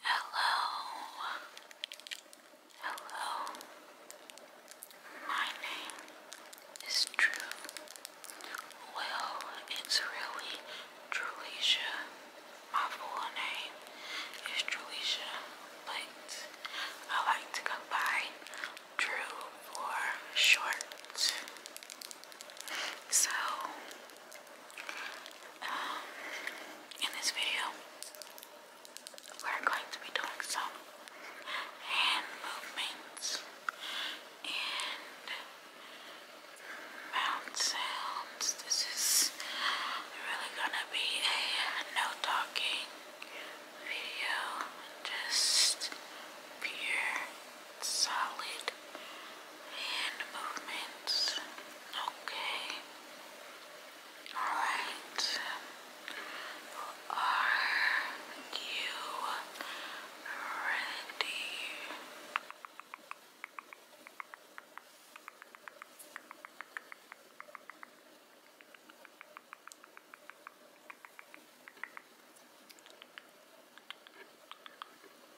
Hello. Hello. My name is Drew. Well, it's really Drulesia. My full name is Drulesia, but I like to go by Drew for short. So in this video, we're going to be doing some hand movements and mouth sounds. This is really gonna be a no talking video, just pure, solid hand movements. Okay. Alright. Are you ready?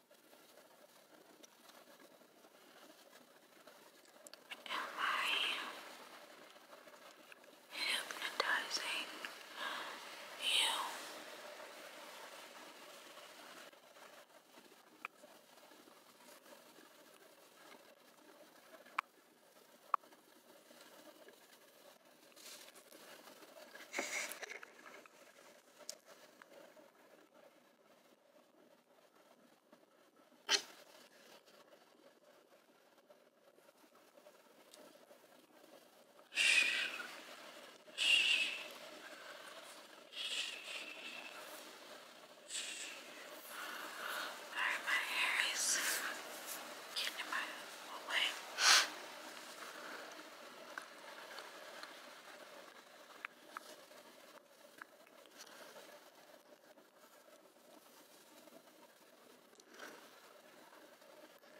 Am hypnotizing you? Alright, my hair is getting in my way.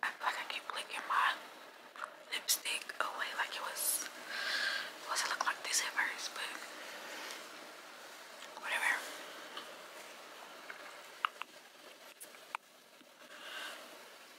I feel like I keep licking my lipstick away like it was supposed to look like this at first, but whatever.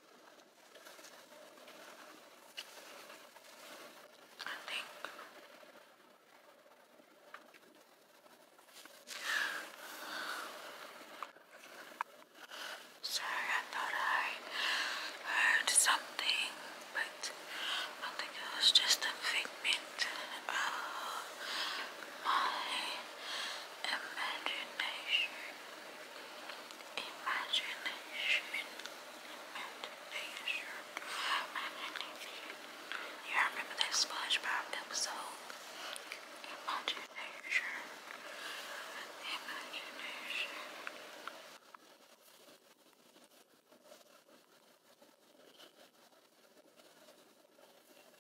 I think sorry I thought I heard something but I think it was just a figment of my imagination Imagination. Imagination. Imagination. You remember that SpongeBob episode? Imagination. Imagination. Imagination.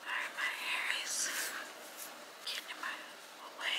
Alright, my hair is getting in my way.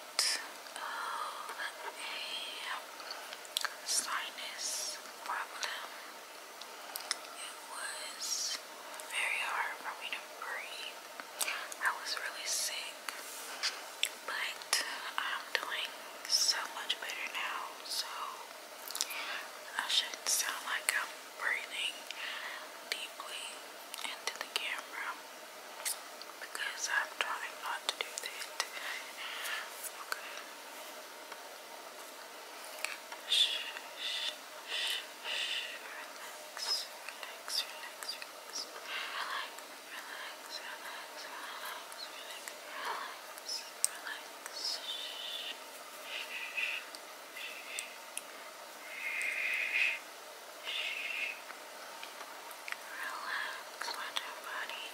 of oh, a sinus problem. It was very hard for me to breathe. I was really sick, but I'm doing so much better now, so I shouldn't sound like I'm breathing deeply into the camera because I'm trying not to do that. Okay. Shh, shh, shh, shh. Relax, relax, relax, relax. Relax, relax, relax, relax, relax, relax, relax. Shh, shh, shh. Relax, let your body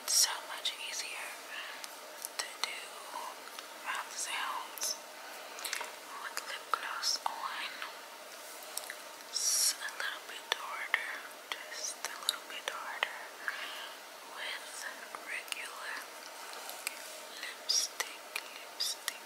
it's so much easier to do mouth sounds with lip gloss on. It's a little bit harder, just a little bit harder with regular lipstick, lipstick.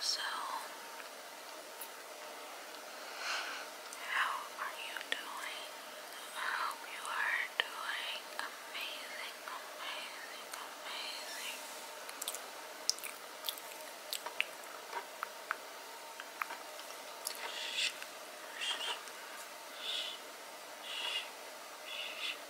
So, how are you doing? I you are doing amazing, amazing, amazing. shh, shh, shh, shh.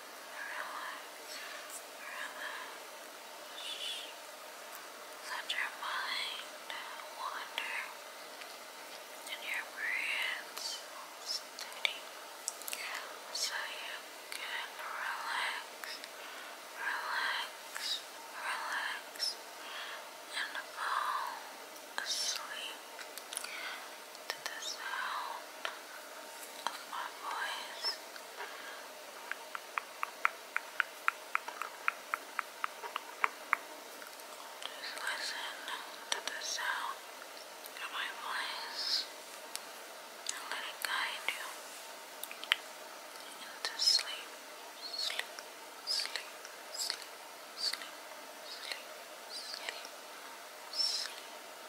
Relax, relax. Let your mind wander and your breath steady so you can relax, relax, relax, and fall asleep to the sound of my voice. Just listen to the sound of my voice and let it guide you into sleep, sleep, sleep, sleep, sleep, sleep, sleep, sleep.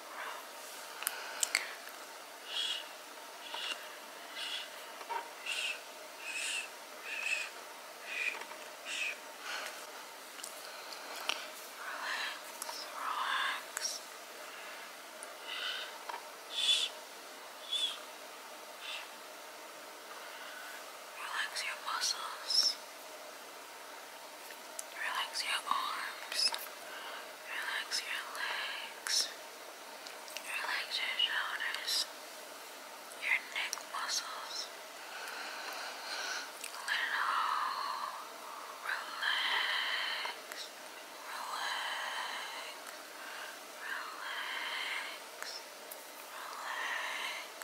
relax. Relax your muscles. Relax Relax your arms. Relax your legs. Relax your shoulders. Your neck muscles. Let relax. Relax. Relax. Relax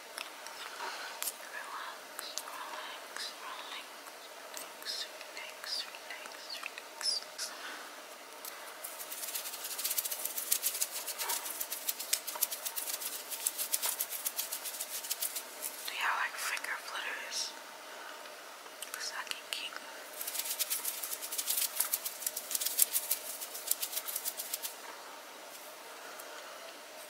Relax, relax, relax, relax, relax, relax. Do y'all like finger flitters? Because I can keep them. I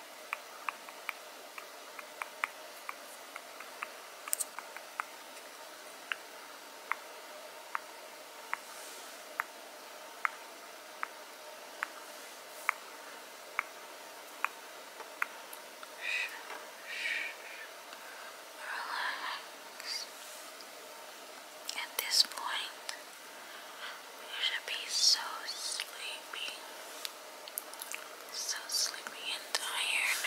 Relax. At this point, you should be so sleepy. So sleepy and tired.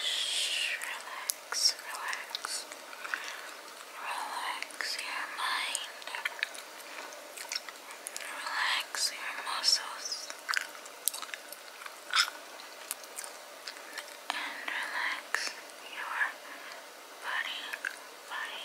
Shh, relax, relax, relax your mind, relax your muscles, and relax your body, body, body.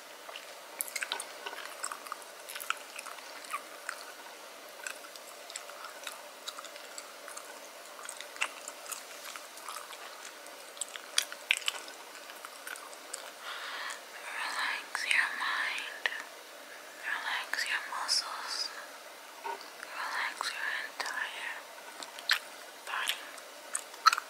Relax your mind, relax your muscles, relax your entire body. Relax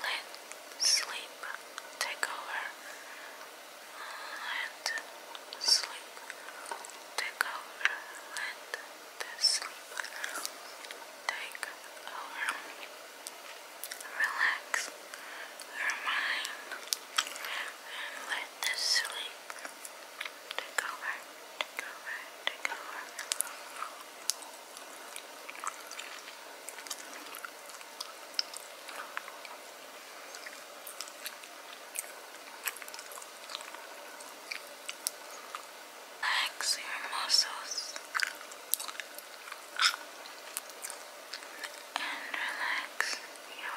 let sleep take over. Let sleep take over. Let the sleep take over. Relax your mind and let the sleep take Relax your muscles and relax your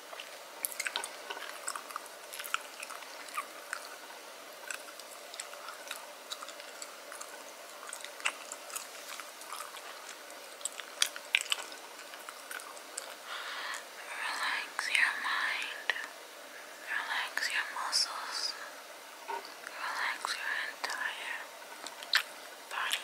Relax your mind, relax your muscles, relax your entire body.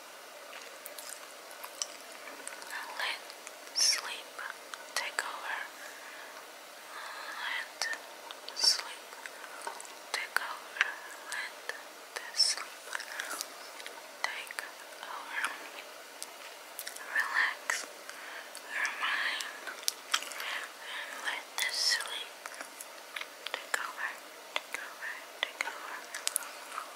Let sleep take over. Let sleep take over. Let the sleep take over. Relax your mind and let the sleep take over. Take over. Take over.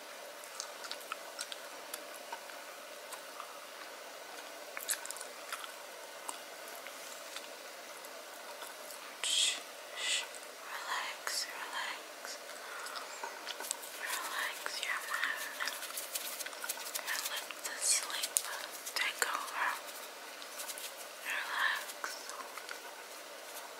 Shh, shh. Relax, relax. Relax your mind. And let the sleep take over. Relax. Relax.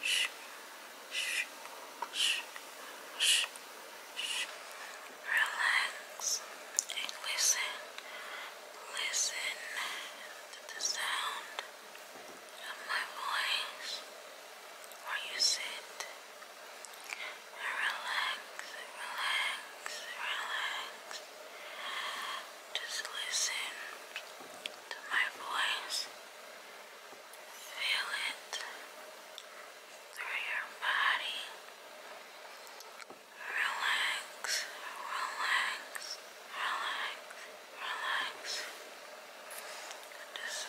Shh. Shh. Shh. Shh. Relax and listen. Listen to the sound of my voice where you sit. Relax, relax, relax. Just listen to my voice Feel it through your body. Relax, relax, relax, relax. Just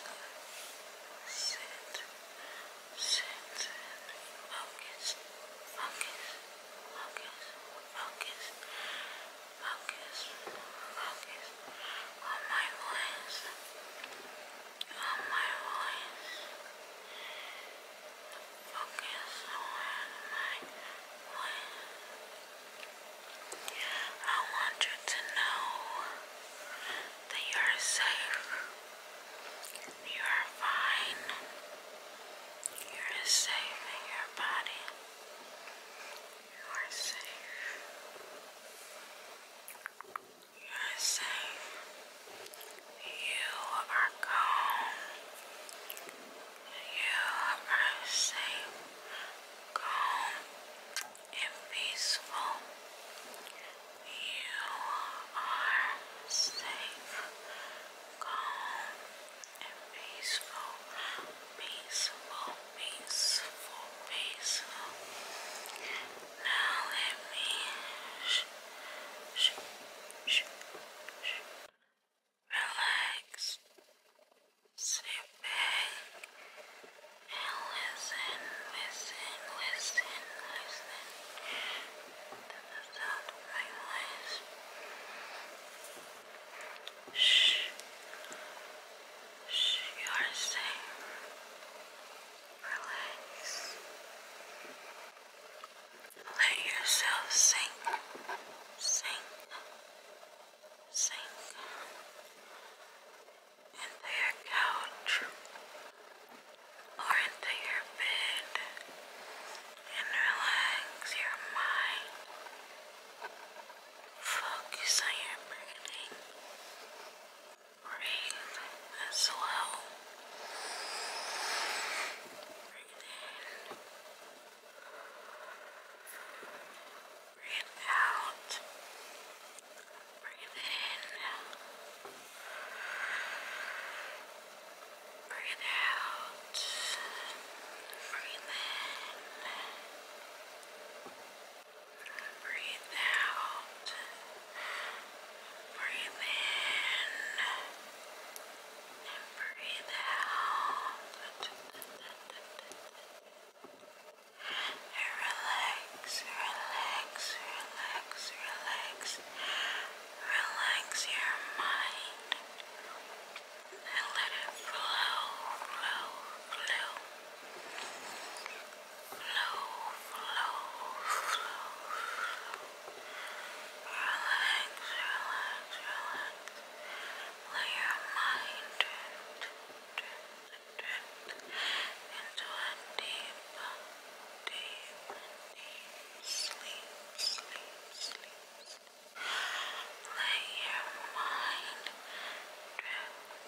sit, sit, focus, focus, focus, focus, focus, focus on my voice, on my voice. Focus on my voice. I want you to know that you are safe. You are fine. You're safe in your body. You are safe. You are safe. You are calm. You are safe, calm, and peaceful. You are safe, calm, and peaceful. Peaceful, piece, full Now let me relax, sit and listen, listen, listen, listen the sound of my voice. Shh. You are safe. Relax. Let yourself sink, sink, sink into your couch or into your bed and relax your mind. Focus on your breathing. Breathe as well. Breathe in. Breathe out. Breathe in. Breathe out. Breathe in. Breathe in. Breathe out. Breathe in. And breathe out. And relax, relax, relax, relax. Relax your mind. And let it flow, flow, flow. Flow, flow, flow, flow. Relax, relax, relax. Let your mind drift, drift, drift into a deep, deep, deep sleep, sleep, sleep. Let your mind drift, drift, drift,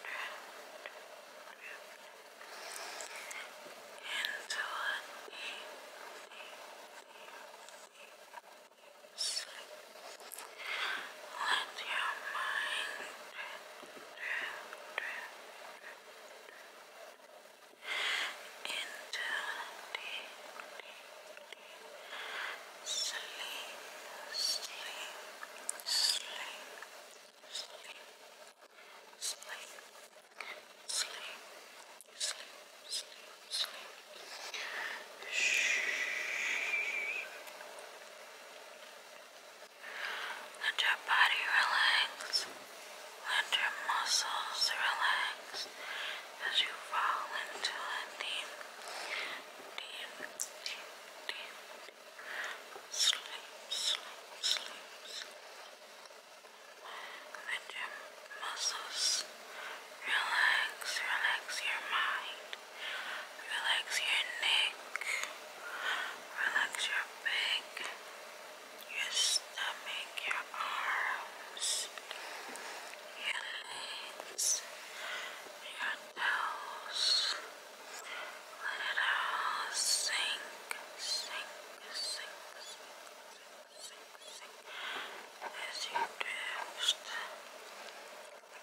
into a deep, deep, deep sleep. Let your mind drift, drift, drift into a deep, deep, deep sleep, sleep, sleep sleep, sleep, sleep, sleep, sleep, sleep. Shh. Let your body relax. Let your muscles relax as you fall into a deep, deep, deep, deep, sleep, sleep, sleep, sleep. Let muscles relax, relax your mind, relax your neck, relax your back, your stomach, your arms, your legs, your toes. Let it sink, sink, sink, sink, sink, sink, sink as you drift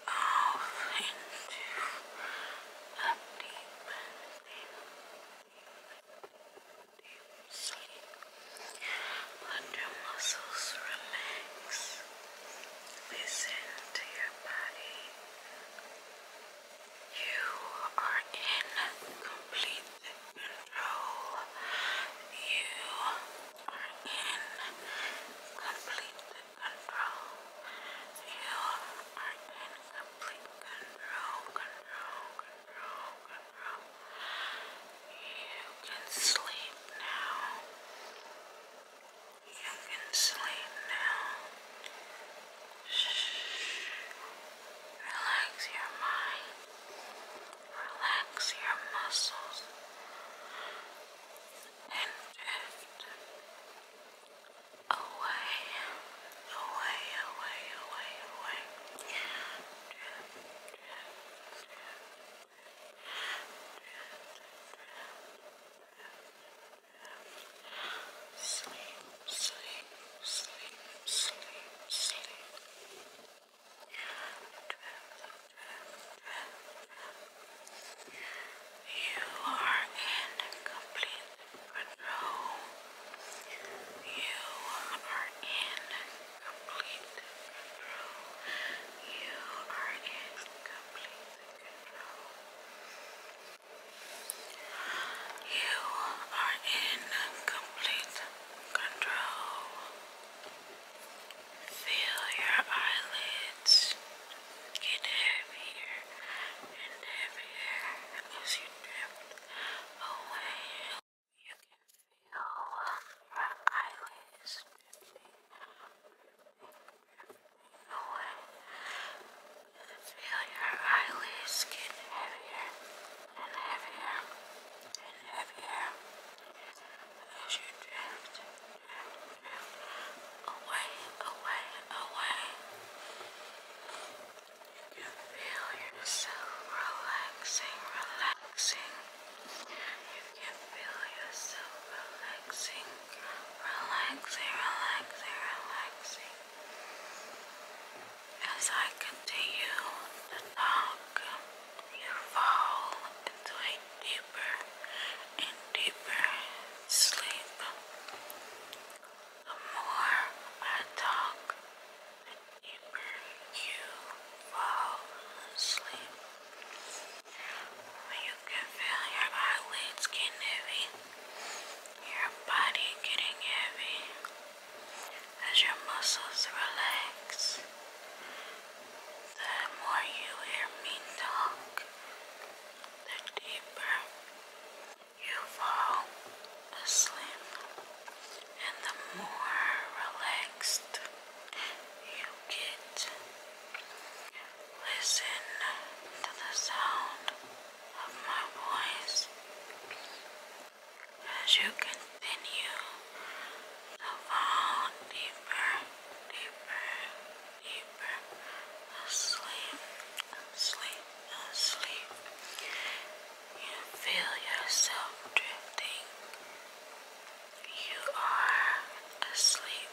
off into deep, deep, deep sleep. Let your muscles relax. Listen to your body. You are in complete control. You are in complete control. You are in complete control, control, control, control. You can sleep now. You can sleep now. Shh. Relax your mind. Relax your muscles. And drift away, away, away, away, away. Drift, drift, drift, drift, drift, drift. Sleep, sleep, sleep, sleep, sleep. You are in complete control. You are in complete control. You are in complete control. You are in complete control. You are in complete control. Feel your eyelids get heavier and heavier as you drift away. You can feel your eyelids drifting, away. Feel your eyelids get heavier and heavier and heavier as you drift, drift, drift away, away, away. You can feel yourself relaxing, relaxing. You can feel yourself relaxing relaxing, relaxing, relaxing. As I continue to talk, you fall into deeper and deeper sleep. The more I talk, the deeper you fall asleep can feel your eyelids getting heavy, your body getting heavy as your muscles relax. The more you hear me talk, the deeper you fall asleep, and the more relaxed you get. Listen to the sound of my voice as you continue to fall deeper, deeper, deeper asleep, asleep, asleep. You feel yourself drifting. You are asleep.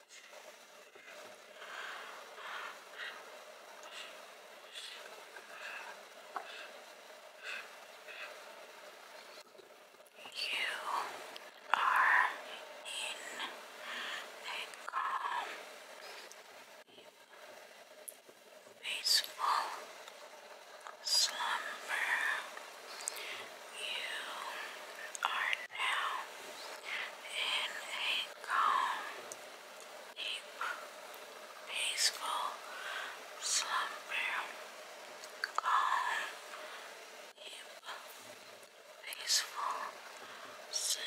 You are in a calm, peaceful slumber. You are now in a calm, deep, peaceful slumber. Calm, deep, peaceful slumber.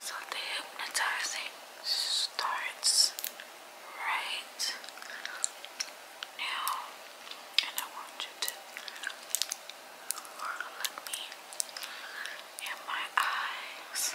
So the hypnotizing starts right now, and I want you to look me in my eyes.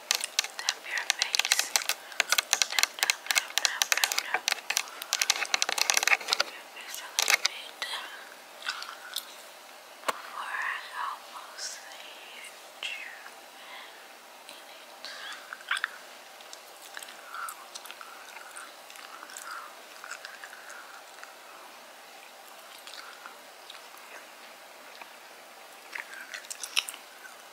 Tap your face. Tap, tap, tap, tap, tap, tap. Your face a little Before I almost hit you in it.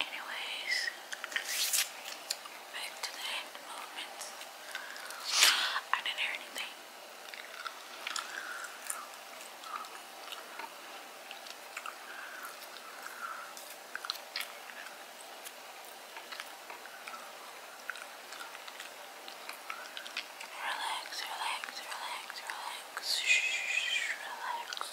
Anyways, back to the movements. I didn't hear anything. Relax, relax, relax, relax, relax.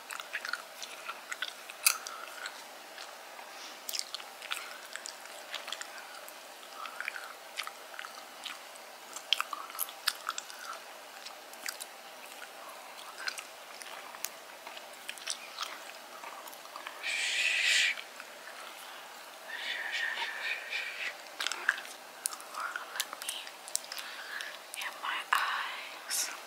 Or let me in my eyes. Shh.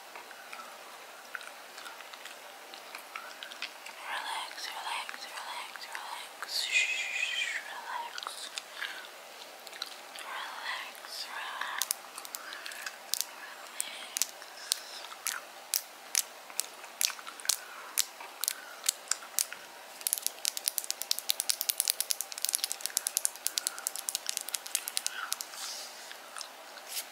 Relax, relax, relax, relax. Shh, relax. Relax, relax. Relax.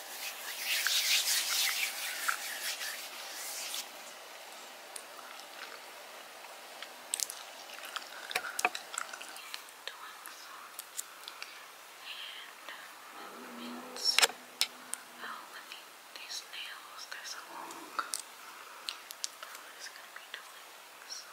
Uh, movements. Oh, let me, these nails, they're so long. I'm just gonna be doing some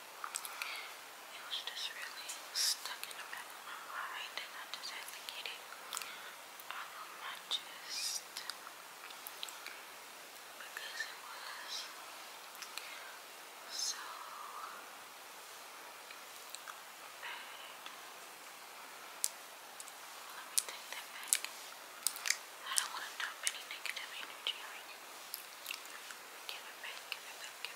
It was just really stuck in my mind I just had to get it out of my because it was so bad. Let me take that back. I don't want to dump any negative energy you. give it back, give it back.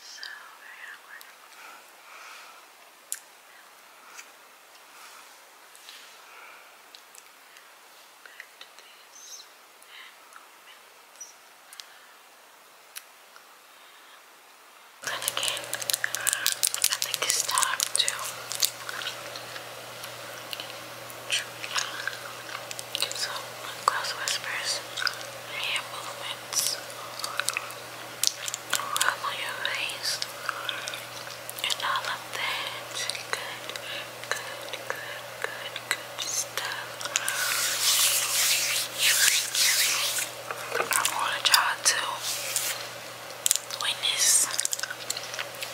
So very Back to this and movements. And again, I think it's time to give whispers hand movements rub on your face and all of that. Good, good, good, good, good stuff. I wanted y'all to witness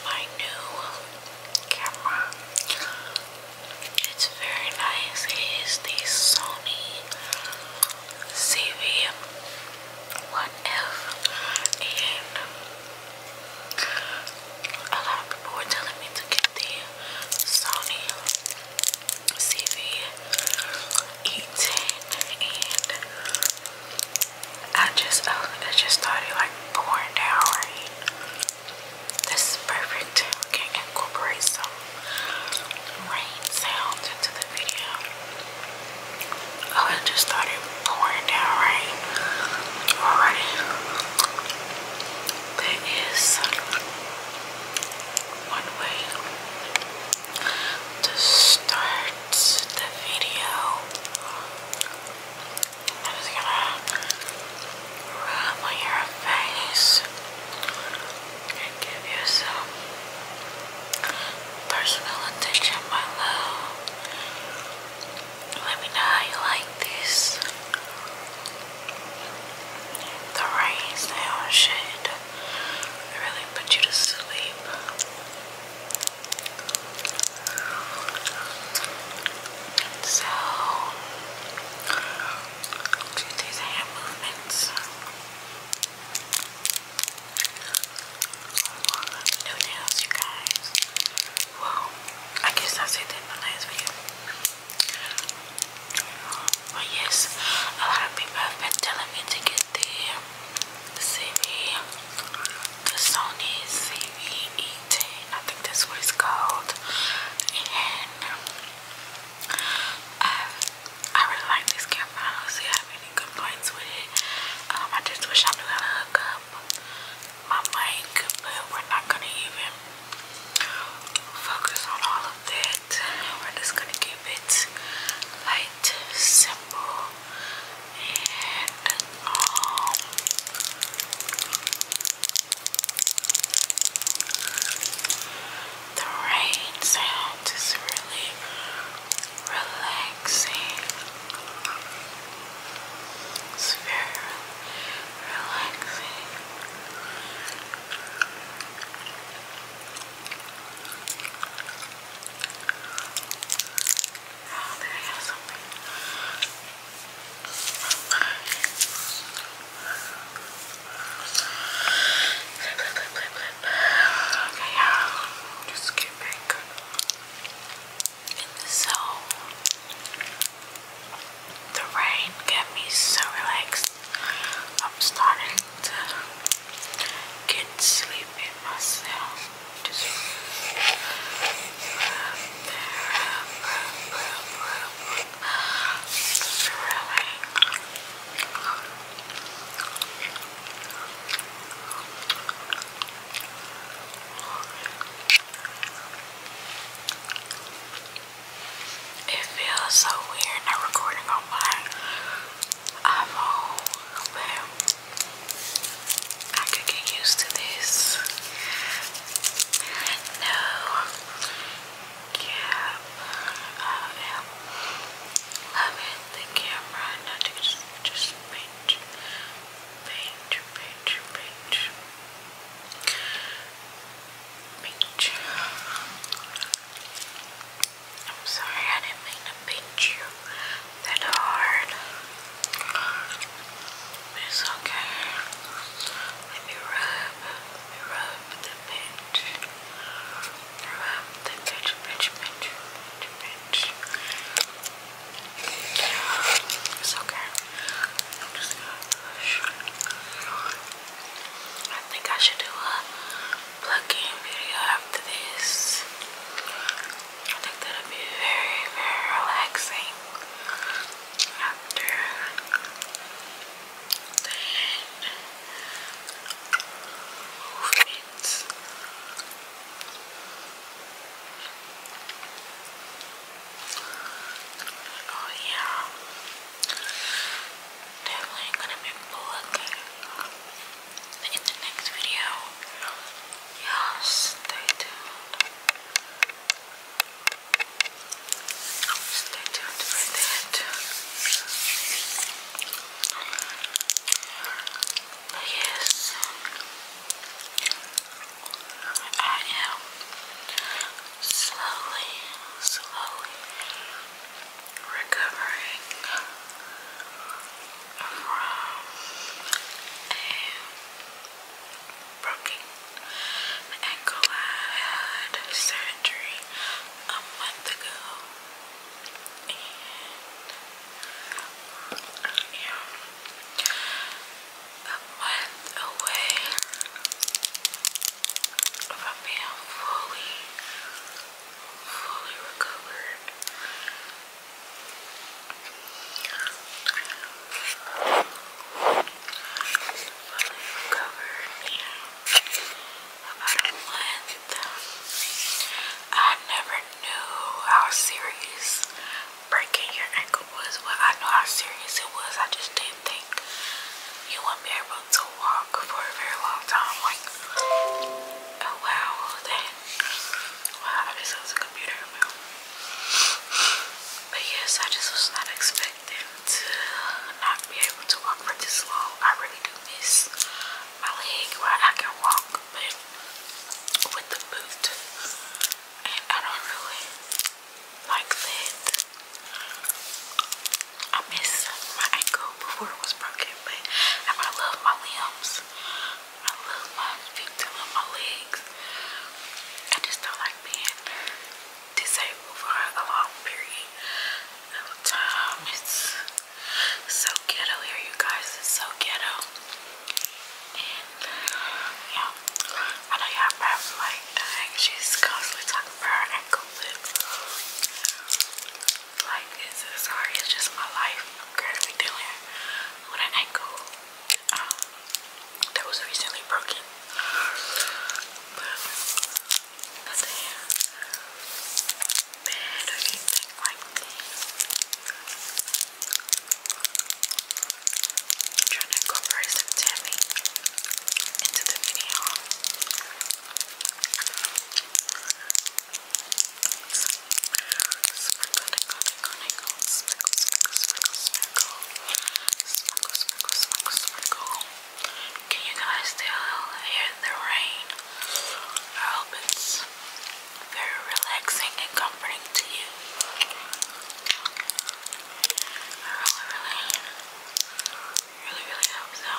my new camera. It's very nice. It is the Sony CV1F and a lot of people were telling me to get the Sony CV810 and I just, uh, I just started like pouring down, right? This is perfect. We can incorporate some rain sounds into the video. Oh, it just started pouring down rain already. That is one way to start the video. I'm gonna rub on your face and give you some personal attention, my love. Let me know you like this. The rain sound should really put you to sleep. So, do these hand movements love nails, you guys. Well, I guess I said that in my last video. But yes, a lot of people have been telling me to get the Sony CV E10, I think that's what it's called. Um, I really like this camera. I don't see have any complaints with it. Um, I just wish I knew how to hook up my mic, but we're not gonna even focus on all of that. We're just gonna keep it light, simple, and um the rain sound is really relaxing. It's very relaxing. Oh, there something. Okay, you just get back the rain got me so relaxed. I'm starting to get sleepy myself. Just rub it feels so weird not recording on my iPhone, I could get used to this. No, cap. Uh, yeah. Loving the camera. Not to just, just paint, paint, paint, paint, paint. I'm sorry, I didn't mean to pinch you that hard. It's okay. Let me rub, let me rub. It's okay. i think I should do a plug video after this. I think that'll be very, very relaxing after movements. Oh yeah, definitely gonna be vlogging in the next video. Yeah, stay tuned. Stay tuned for that yes, I am slowly, slowly recovering from a broken ankle. I had surgery a month ago. And I am away from being fully, fully Fully recovered in about a month. I never knew how serious breaking your ankle was. Well, I know how serious it was. I just didn't think you wouldn't be able to walk for a very long time. Like, oh wow, that. Wow, I just was a computer. But yes, I just was not expecting to not be able to walk for this long. I really do miss my leg where I can walk, but with the boot, and I don't really like that. I miss my ankle before it was broken, but I love my limbs. I love my feet, I love my legs. I just don't like being disabled for a long period of time. It's so ghetto here, you guys. It's so ghetto. And yeah, I know y'all probably like, she's constantly talking about her ankle, but like, sorry, it's just my life. I'm dealing with an ankle um, that was recently broken. Got the hair bit of trying to incorporate some into the video. So, sprinkle, nickel, nickel, nickel, sprinkle, sprinkle, sprinkle, sprinkle, sprinkle, sprinkle, sprinkle, can you guys still hear the rain? I hope it's very relaxing and comforting to you. I really, really, really, really hope so.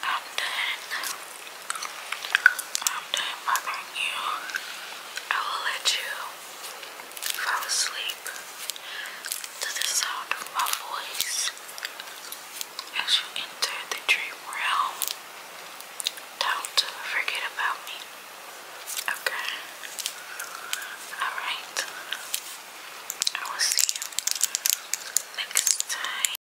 I'm done. I'm done bothering you. I will let you fall asleep to the sound of my voice as you enter the dream realm. Don't forget about me. Okay? Alright. I will see you next time.